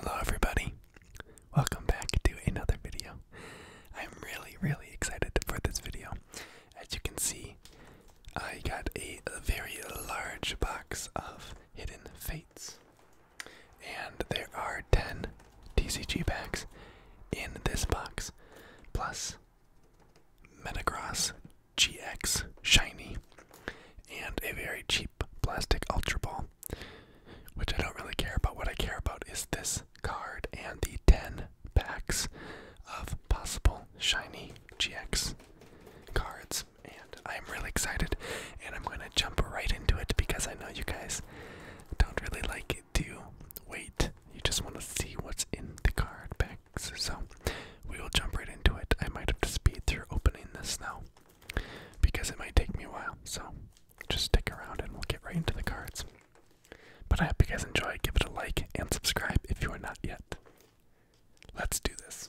Hello everybody. Welcome back to another video. I'm really really excited for this video. As you can see, I got a very large box of Hidden Fates. And there are 10 TCG packs in this box plus Metagross GX Shiny and a very cheap plastic Ultra Ball, which I don't really care about. What I care about is this card and the 10 packs of possible shiny GX cards. And I'm really excited, and I'm going to jump right into it because I know you guys don't really like it to wait. You just want to see what's in the card packs. So we will jump right into it. I might have to speed through opening this now because it might take me a while. So just stick around and we'll get right into the cards. But I hope you guys enjoy. Give it a like and subscribe if you are not yet. Let's do this.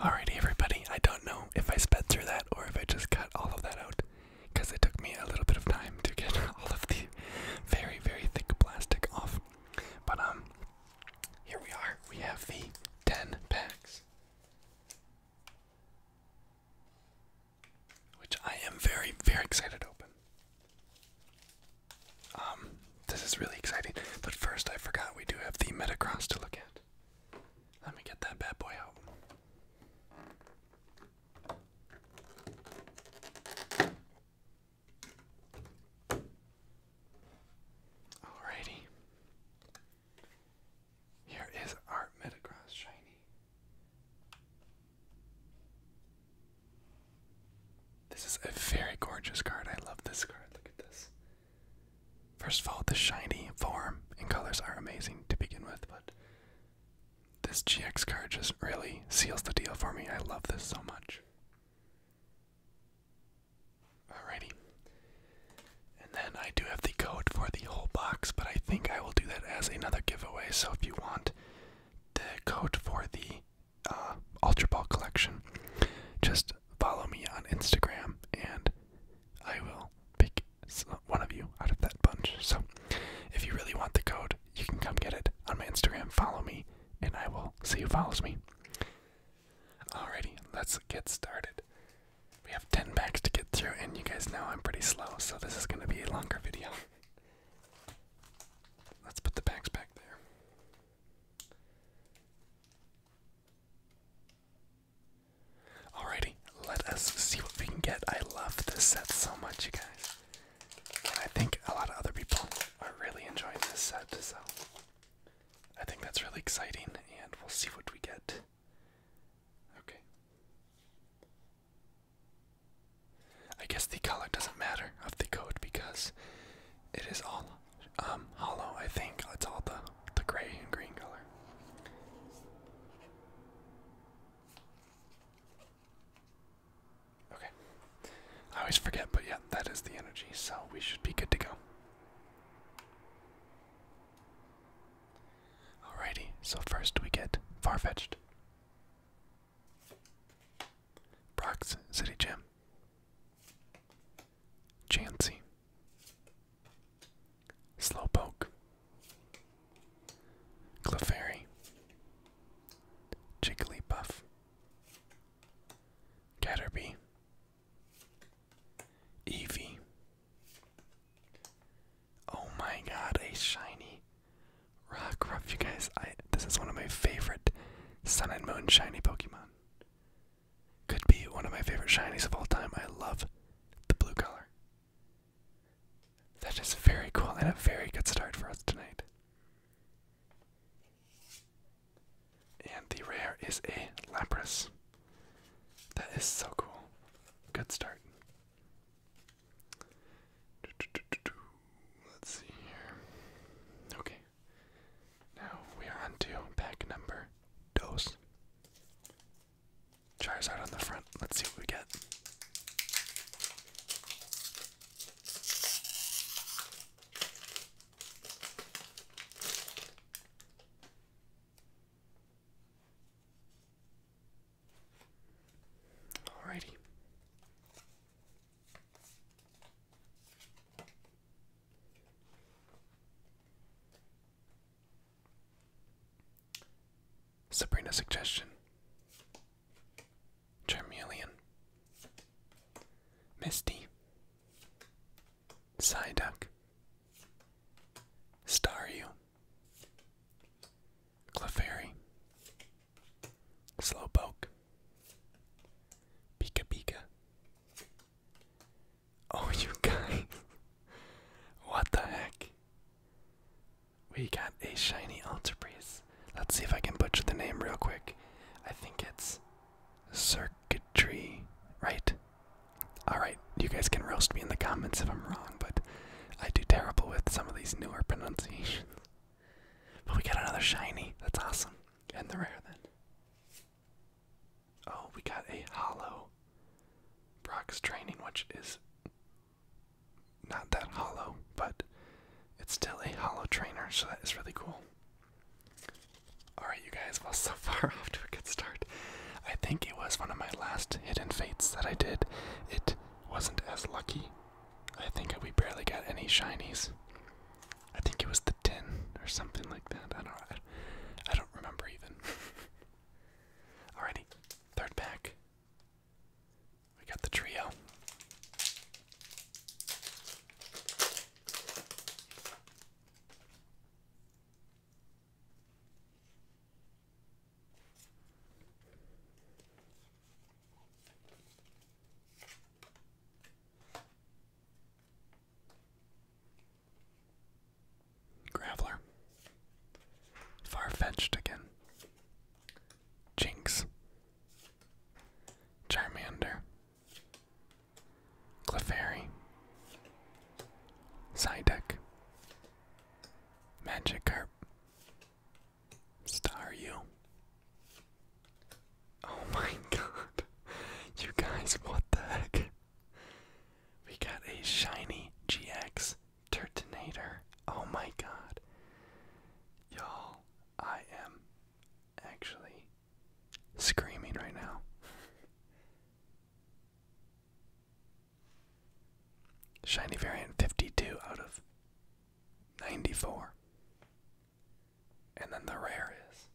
Alrighty, everybody. I don't know if I sped through that or if I just cut all of that out because it took me a little bit of time to get all of the very, very thick plastic off. But, um, here we are. We have the 10 packs, which I am very, very excited to open. Um, this is really exciting. But first, I forgot we do have the Metacross to look at. Let me get that bad boy out. Alrighty. Here is our Metagross Shiny. This is a very gorgeous card. I love this card. Look at this. First of all, the shiny form and colors are amazing to begin with, but this GX card just really seals the deal for me. I love this so much. Alrighty. And then I do have the code for the whole box, but I think I will do that as another giveaway. So if you want the code for the uh, Ultra Ball collection, just follow me on Instagram and I will pick one of you out of that bunch. So if you really want the code, you can come get it on my Instagram. Follow me, and I will see who follows me. Alrighty, let's get started. We have 10 packs to get through, and you guys know I'm pretty slow, so this is going to be a longer video. let's put the packs back there. Alrighty, let us see what we can get. I love this set so much, you guys. And I think a lot of other people are really enjoying this set, so I think that's really exciting, and we'll see what we get. Okay. I guess the color doesn't matter of the code because it is all um, hollow, I think. It's all the, the gray and green color. Okay. I always forget, but yeah, that is the energy, so we should be good to go. Alrighty, so first we get Farfetched. Brock's City Gym. Chansey. Slowpoke. Clefairy, Jigglypuff, Caterpie, Eevee. Oh my god, a shiny Rockruff, you guys. I this is one of my favorite Sun and Moon shiny Pokemon. Could be one of my favorite shinies of all time. I love the blue color. That is very cool and a very good start for us tonight. And the rare is a Lapras. That is so cool. Good start. Let's see here. Okay. Now we are on pack number dos out on the front. Let's see what we get. Alrighty. Sabrina's suggestion Charmeleon, Misty, Psyduck, Staryu, Clefairy, Slowpoke, Pika Pika. Oh, you guys. what the heck? We got a shiny altar priest. Let's see if I can butcher the name real quick. I think it's circuitry, right? Alright, you guys can roast me in the comments if I'm wrong, but I do terrible with some of these newer pronunciations. But we got another shiny. That's awesome. And the rare then. Oh, we got a hollow Brock's training, which is not that hollow, but it's still a hollow trainer, so that is really cool. Alright, you guys, well, so far off to a good start. I think it was one of my last hidden fates that I did. It wasn't as lucky. I think we barely got any shinies. I think it was the tin or something like that. I don't I, I don't remember even. Alrighty. Third pack. We got the trio. Graveler. Far-fetched again. Jinx. Charmander. Clefairy. Psyduck. Magikarp. Staryu. Oh my god. You guys, what the heck? We got a shiny GX Turtonator. Oh my god. Y'all, I am actually screaming right now. Shiny variant 52 out of 94. And then the rare is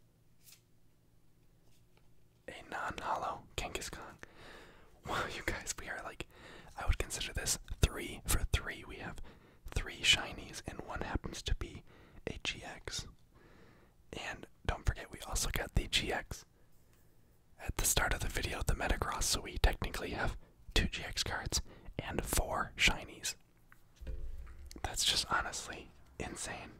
a non hollow Kangaskhan Wow, you guys, we are like, I would consider this three for three. We have three shinies, and one happens to be a GX. And don't forget, we also got the GX at the start of the video, the Metacross, so we technically have two GX cards and four shinies. That's just honestly insane.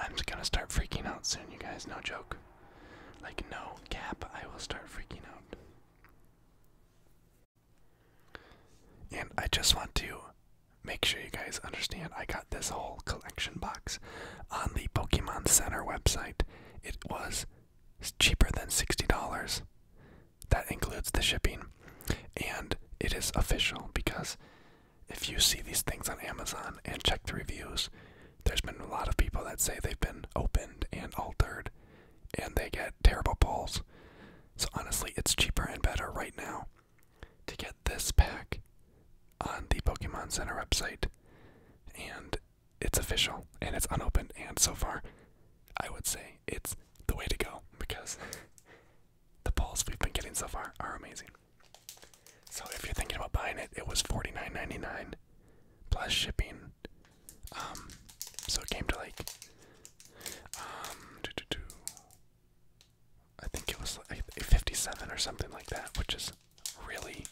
I'm just gonna start freaking out soon, you guys, no joke. Like, no, Cap, I will start freaking out. And I just want to make sure you guys understand I got this whole collection box on the Pokemon Center website. It was cheaper than $60. That includes the shipping. And it is official because if you see these things on Amazon and check the reviews, there's been a lot of people that say they've been opened and altered and they get terrible balls. So honestly, it's cheaper and better right now to get this pack on the Pokemon Center website. And it's official and it's unopened and so far I would say it's the way to go because the balls we've been getting so far are amazing. So if you're thinking about buying it, it was $49.99 plus shipping. Um, so it came to like, um, I think it was like 57 or something like that, which is really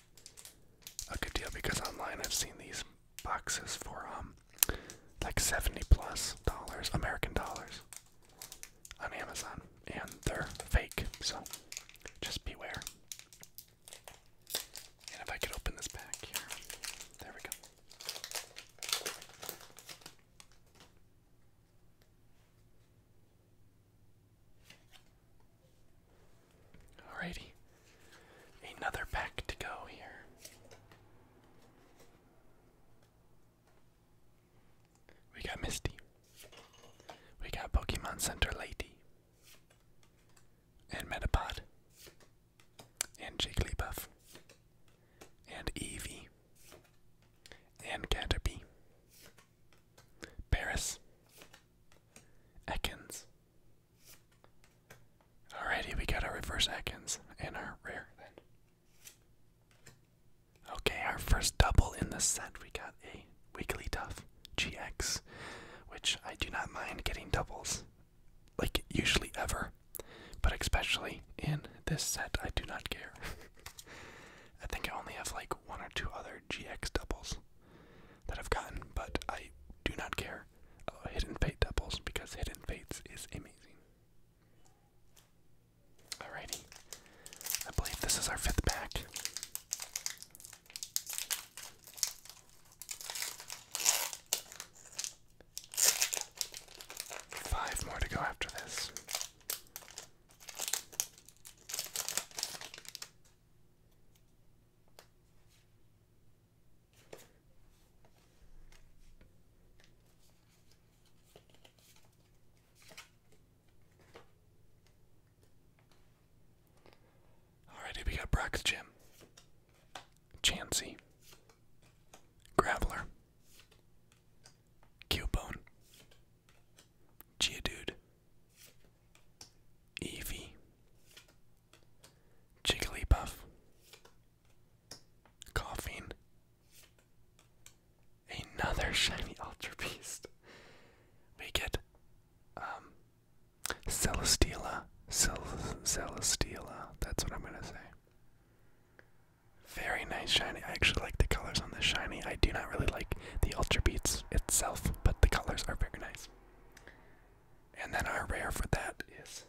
a good deal because online I've seen these boxes for um, like 70 plus dollars, American dollars on Amazon and they're fake, so just beware if I could open this pack here. There we go. Alrighty. Another pack to go here. We got Misty. We got Pokemon Center Lady and Metapod, and Jigglypuff, and Eevee, and Caterpie, Paris, Ekans. Alrighty, we got our reverse Ekans in our rear. then. Okay, our first double in the set. We got a Wigglytuff GX, which I do not mind getting doubles, like usually ever, but especially in this set, I do not care. I think I only have like one or two other GX doubles that I've gotten, but I do not care. Hidden Fate doubles because Hidden Fates is amazing. Alrighty, I believe this is our fifth pack. Five more to go after this. All righty, we got Brock's Gym, Chansey, Graveler, Cubone, Geodude, Eevee, Jigglypuff, Coughing, another shiny Ultra Beast. We get um Celestila. Cel That's what I'm going to say. Very nice shiny. I actually like the colors on this shiny. I do not really like the Ultra Beats itself, but the colors are very nice. And then our rare for that is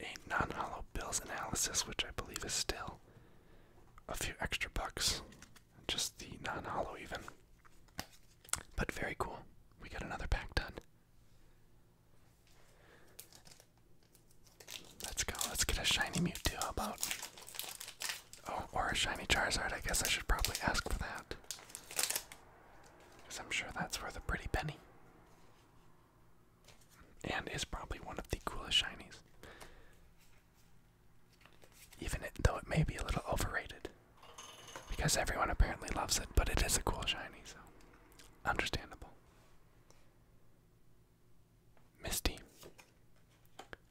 a non hollow bills analysis, which I believe is still a few extra bucks. Just the non hollow, even. But very cool. We got another pack done. Let's go. Let's get a shiny Mewtwo. How about. Oh, or a shiny Charizard. I guess I should probably ask for that. Because I'm sure that's worth a pretty penny. And is probably one of the coolest shinies. Even though it may be a little overrated. Because everyone apparently loves it, but it is a cool shiny, so. Understandable. Misty.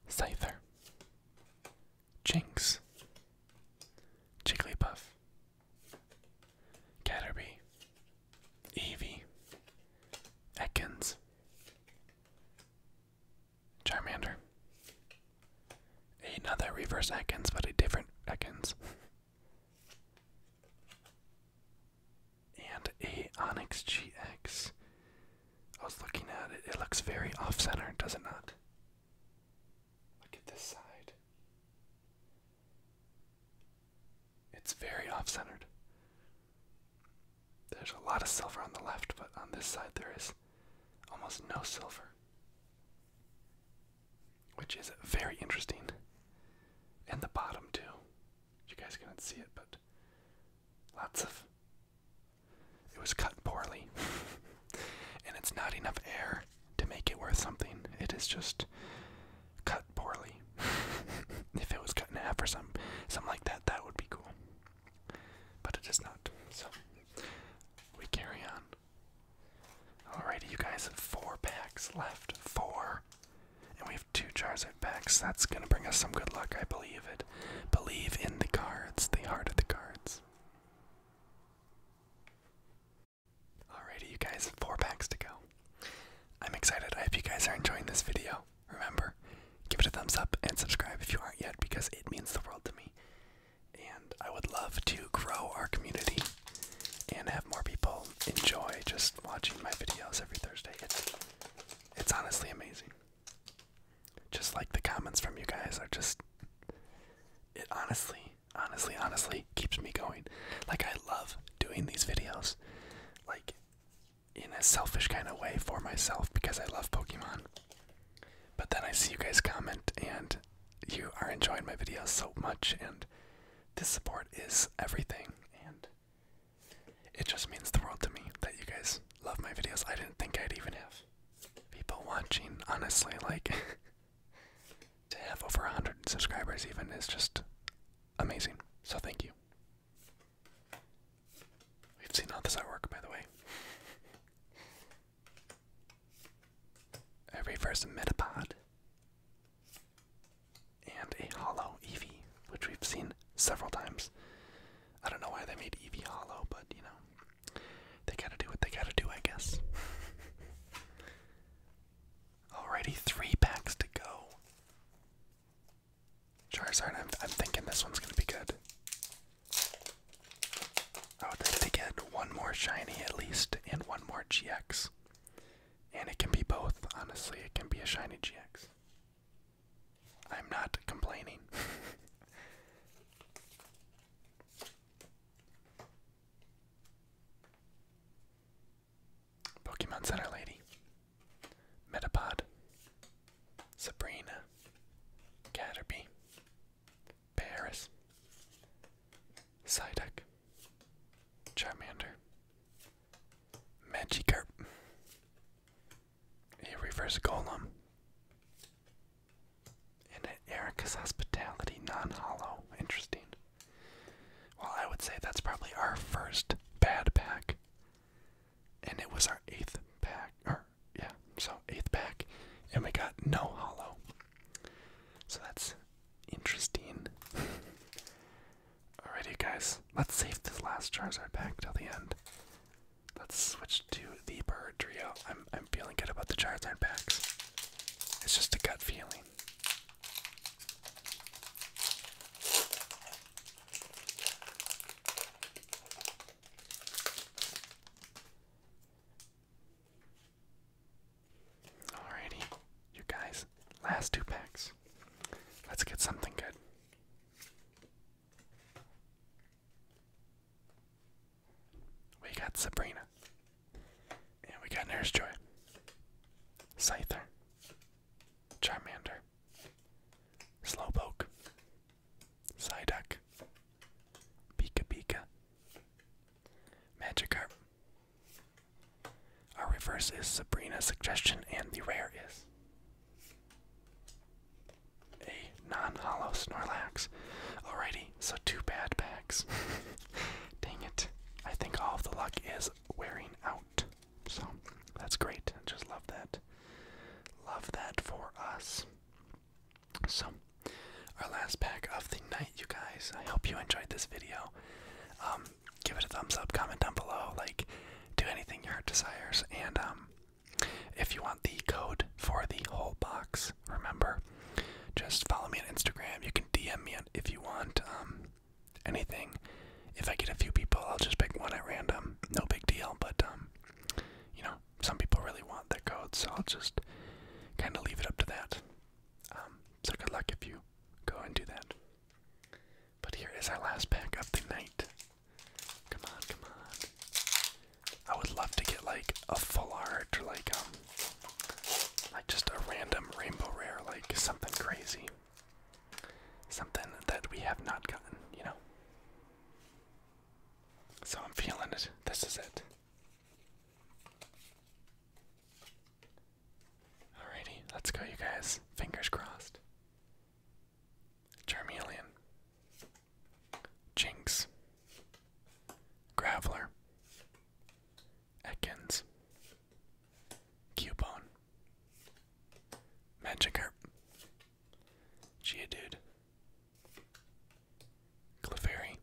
Scyther. Jinx. Jigglypuff. Caterpie. Eevee. Ekans. Charmander. Another reverse Ekans, but a different Ekans. and a Onyx GX. I was looking at it, it looks very off center, does it not? Look at this side. It's very off centered. There's a lot of silver on the left, but on this side there is almost no silver. Which is very interesting. And the bottom, too. You guys couldn't see it, but lots of. It was cut poorly. and it's not enough air to make it worth something. It is just cut poorly. if it was cut in half or some, something like that, that would be cool. But it is not. So we carry on. Alrighty, you guys have four packs left. Four. And we have two Charizard packs. That's gonna bring us some good luck, I believe it. Believe in the cards, the heart of the cards. Alrighty, you guys, have four packs to go. I'm excited. I hope you guys are enjoying this video. Remember, give it a thumbs up and subscribe if you aren't yet because it means the world to me. And I would love to grow our community and have more people enjoy just watching my videos every Thursday. It's, it's honestly amazing. Just like the comments from you guys are just. It honestly, honestly, honestly keeps me going. Like, I love doing these videos. Like, in a selfish kind of way for myself because I love Pokemon. But then I see you guys comment and you are enjoying my videos so much, and this support is everything. And it just means the world to me that you guys love my videos. I didn't think I'd even have people watching, honestly. Like, to have over 100 subscribers, even, is just amazing. So, thank you. We've seen all this artwork, by the way. A reverse Metapod and a hollow EV, which we've seen several times. I don't know why they made EV hollow, but you know, they gotta do what they gotta do, I guess. Alrighty, three packs to go. Charizard, I'm, thinking this one's gonna be good. I would like to get one more shiny at least, and one more GX. And it can be both, honestly. It can be a shiny GX. I'm not complaining. Pokemon Center Lady. Metapod. Sabrina, Caterpie, Paris, Psyduck, Charmander, Magikarp, a reverse golem, and an Erica's Hospitality non-hollow. Interesting. Well, I would say that's probably our first bad pack and it was our eighth pack, or yeah, so eighth pack, and we got no hollow. So that's interesting. Alrighty, guys, let's save this last Charizard pack till the end. Let's switch to the Bird Trio. I'm I'm feeling good about the Charizard packs. It's just a gut feeling. Alrighty, you guys, last two packs. Let's get something good. We got Sabrina. And we got Nurse Joy. Cyther, Charmander. Slowpoke. Psyduck, Pika Pika, Magikarp. Our reverse is Sabrina's suggestion, and the rare is a non-hollow Snorlax. Alrighty, so two bad packs. Dang it! I think all of the luck is wearing out, so that's great. I just love that. Love that for us. So, our last pack of the night, you guys. I hope you enjoyed this video. Um, give it a thumbs up, comment down below, like, do anything your heart desires. And um, if you want the code for the whole box, remember, just follow me on Instagram. You can DM me if you want um, anything. If I get a few people, I'll just pick one at random. No big deal, but um, you know, some people really want their codes, so I'll just kind of leave it up to that. Um, so good luck if you go and do that. But here is our last pack of the night. Come on, come on. I would love to get like a full art or like um like just a random rainbow rare, like something crazy. Something that we have not gotten, you know. So I'm feeling it. This is it. All righty, let's go, you guys. Fingers crossed. Charmeleon. Jinx. Graveler. Ekans. Cubone. Magikarp. Geodude. Clefairy.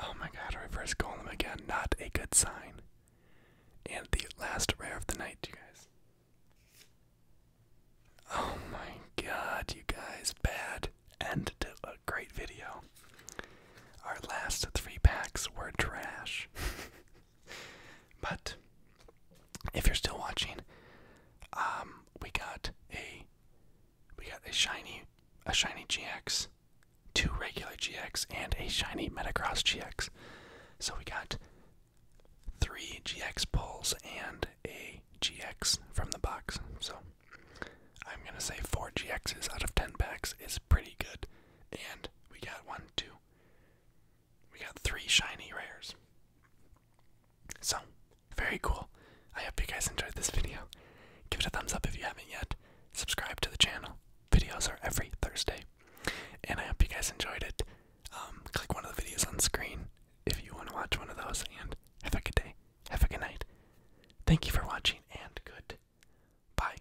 Oh my god, reverse golem again. Not a good sign. And the last rare of the night, you guys. Oh my god, you guys. Bad end to a great video. Our last three packs were trash. but if you're still watching, um, we got a we got a shiny a shiny GX, two regular GX, and a shiny Metacross GX. So we got three GX pulls and a GX from the box. So I'm gonna say four GXs out of ten packs is pretty good. And we got one, two, we got three shiny rares. So, very cool. I hope you guys enjoyed this video. Give it a thumbs up if you haven't yet. Subscribe to the channel. Videos are every Thursday. And I hope you guys enjoyed it. Um, click one of the videos on screen if you want to watch one of those. And have a good day. Have a good night. Thank you for watching and good bye.